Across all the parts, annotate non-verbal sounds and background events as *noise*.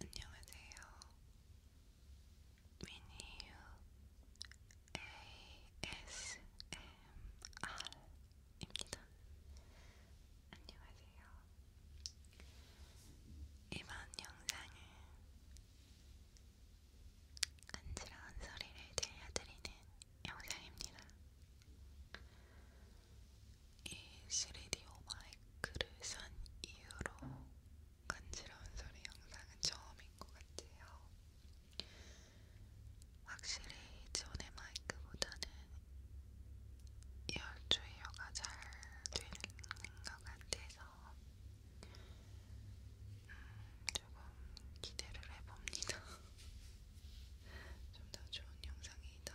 안녕하세요. 미니유 ASMR입니다. 안녕하세요. 이번 영상은 간지러운 소리를 들려드리는 영상입니다. 이 3DO 마이크를 산 이후로 간지러운 소리 영상은 처음인 것 같아요. 확실히 전의 마이크보다는 열주이어가 잘 되는 것 같아서 음, 조금 기대를 해봅니다. *laughs* 좀 더 좋은 영상이 더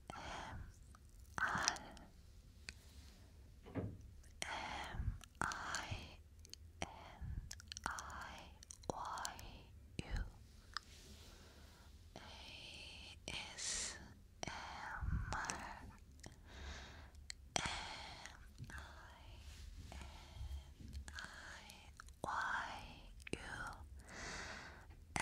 I M I N I Y U A S M R M I N I Y U A S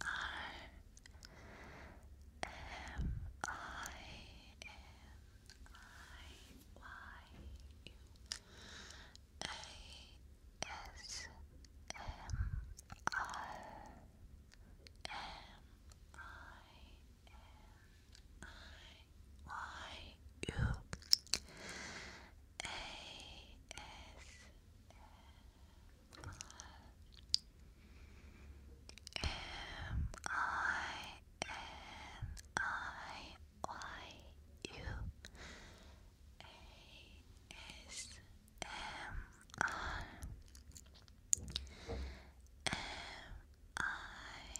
R M I N I Y U A S M R M I N I Y U A S M R M I N I Y U M I N I Y U A S M R M I N M I N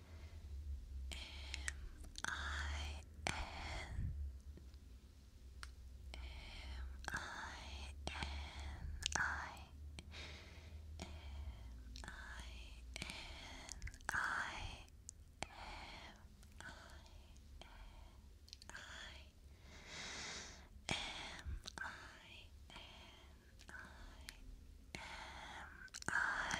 M I N M I N I M I N I M I N I M I N I M I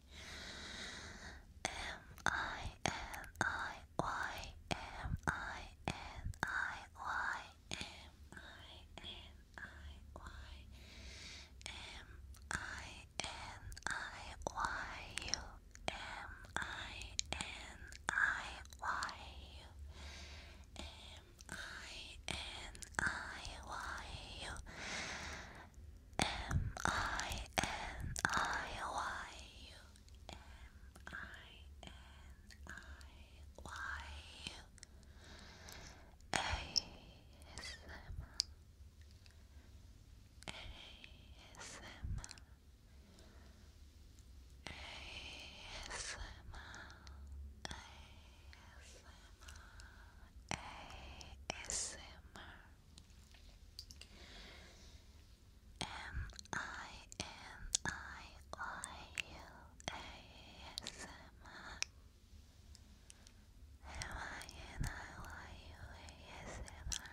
M I N I Y M I N I Y M I N I Y M I N I Y U M I N I Y U M I N I Y U M I N I Y U M I N I Y U A S M A S M A S M A S M A S M M I N I Y U A S M R. M I N I Y U A S M R.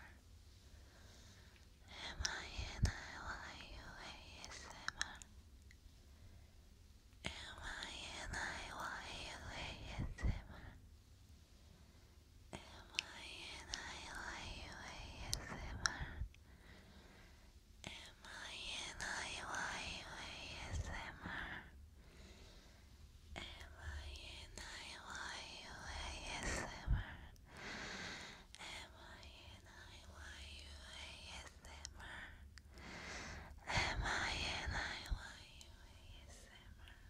M I N I Y U A S M R. M I N I Y U A S M R. Emily Am I and I lie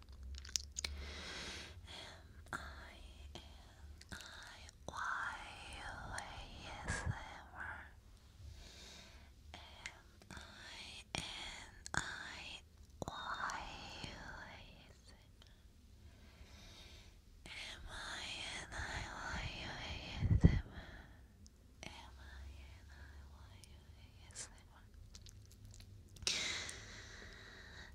M I N I Y U A S M R M I N I Y U A S M I N I Y U A S M R M I N I Y U A S M R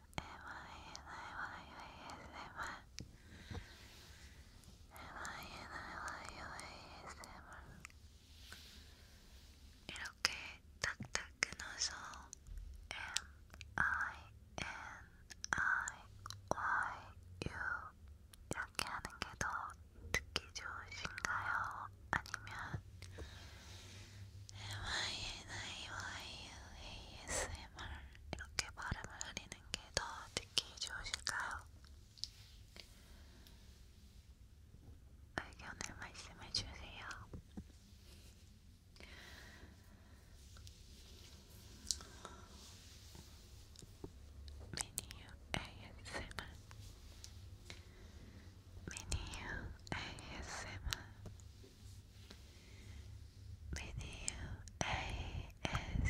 이렇게 딱딱 끊어서 M-I-N-I-Y-U 이렇게 하는 게 더 듣기 좋으신가요? 아니면 MINIYU ASMR 이렇게 발음을 흐리는 게 더 듣기 좋으실까요? 의견을 말씀해 주세요. 미니유 ASMR 미니유 ASMR Video ASMR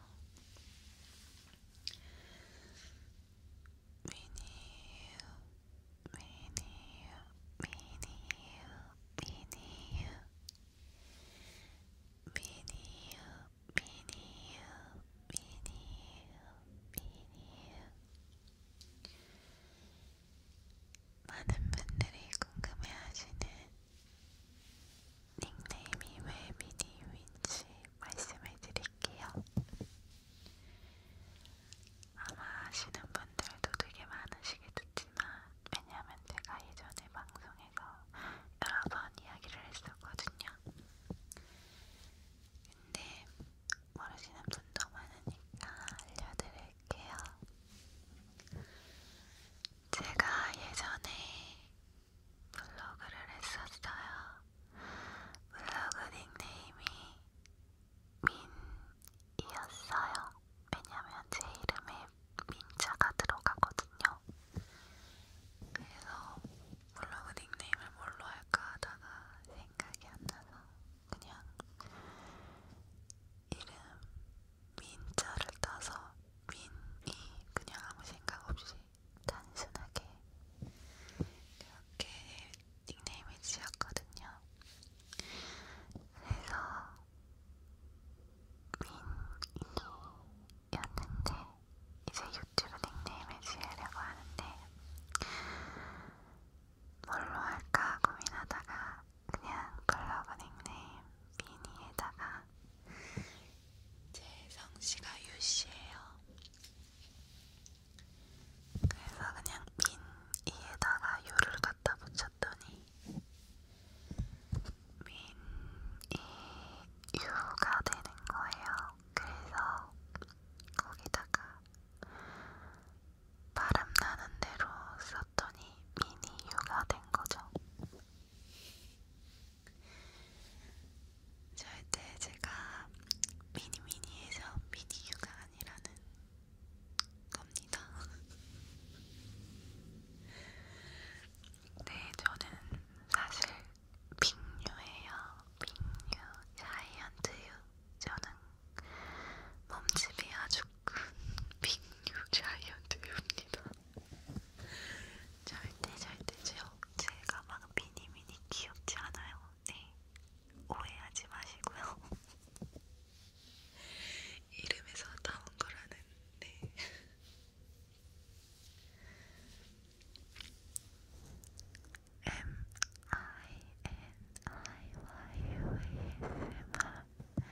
많은 분들이 궁금해하시는 닉네임이 왜 미디유인지 말씀을 드릴게요. 아마 아시는 분들도 되게 많으시겠지만 왜냐면 제가 예전에 방송에서 여러 번 이야기를 했었거든요. 근데 모르시는 분도 많으니까 알려드릴게요. 제가 예전에 블로그를 했었어요. 블로그 닉네임이 민이었어요. 왜냐면 제 이름에 민자가 들어가거든요. 그래서 블로그 닉네임을 뭘로 할까 하다가 생각이 안 나서 그냥 이름 민자를 따서 민이 그냥 아무 생각 없이 단순하게 이렇게 닉네임을 지었거든요. 그래서 민이였는데 이제 유튜브 닉네임을 지으려고 하는데 뭘로 할까 고민하다가 그냥 글로브 닉네임 미니에다가 제 성씨가 유씨예요. 그래서 그냥 빈 이에다가 유를 갖다 붙였더니 민이 유가 되는 거예요. 그래서 거기다가 바람 나는 대로 썼더니 미니 유가 된 거죠. 절대 제가 미니미니에서 미니유가 아니라는 겁니다. 네, 저는 사실 빅유예요. 빅유, 자이언트유. 저는 몸집이 아주 큰 빅유 자이언트유입니다. 절대 절대 제가, 제가 막 미니미니 귀엽지 않아요. 네. 오해하지 마시고요. *laughs* 이름에서 나온 거라는 네. M I N I Y U A S M R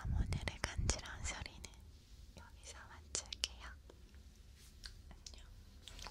오늘의 간지러운 소리는 여기서 마칠게요. 안녕.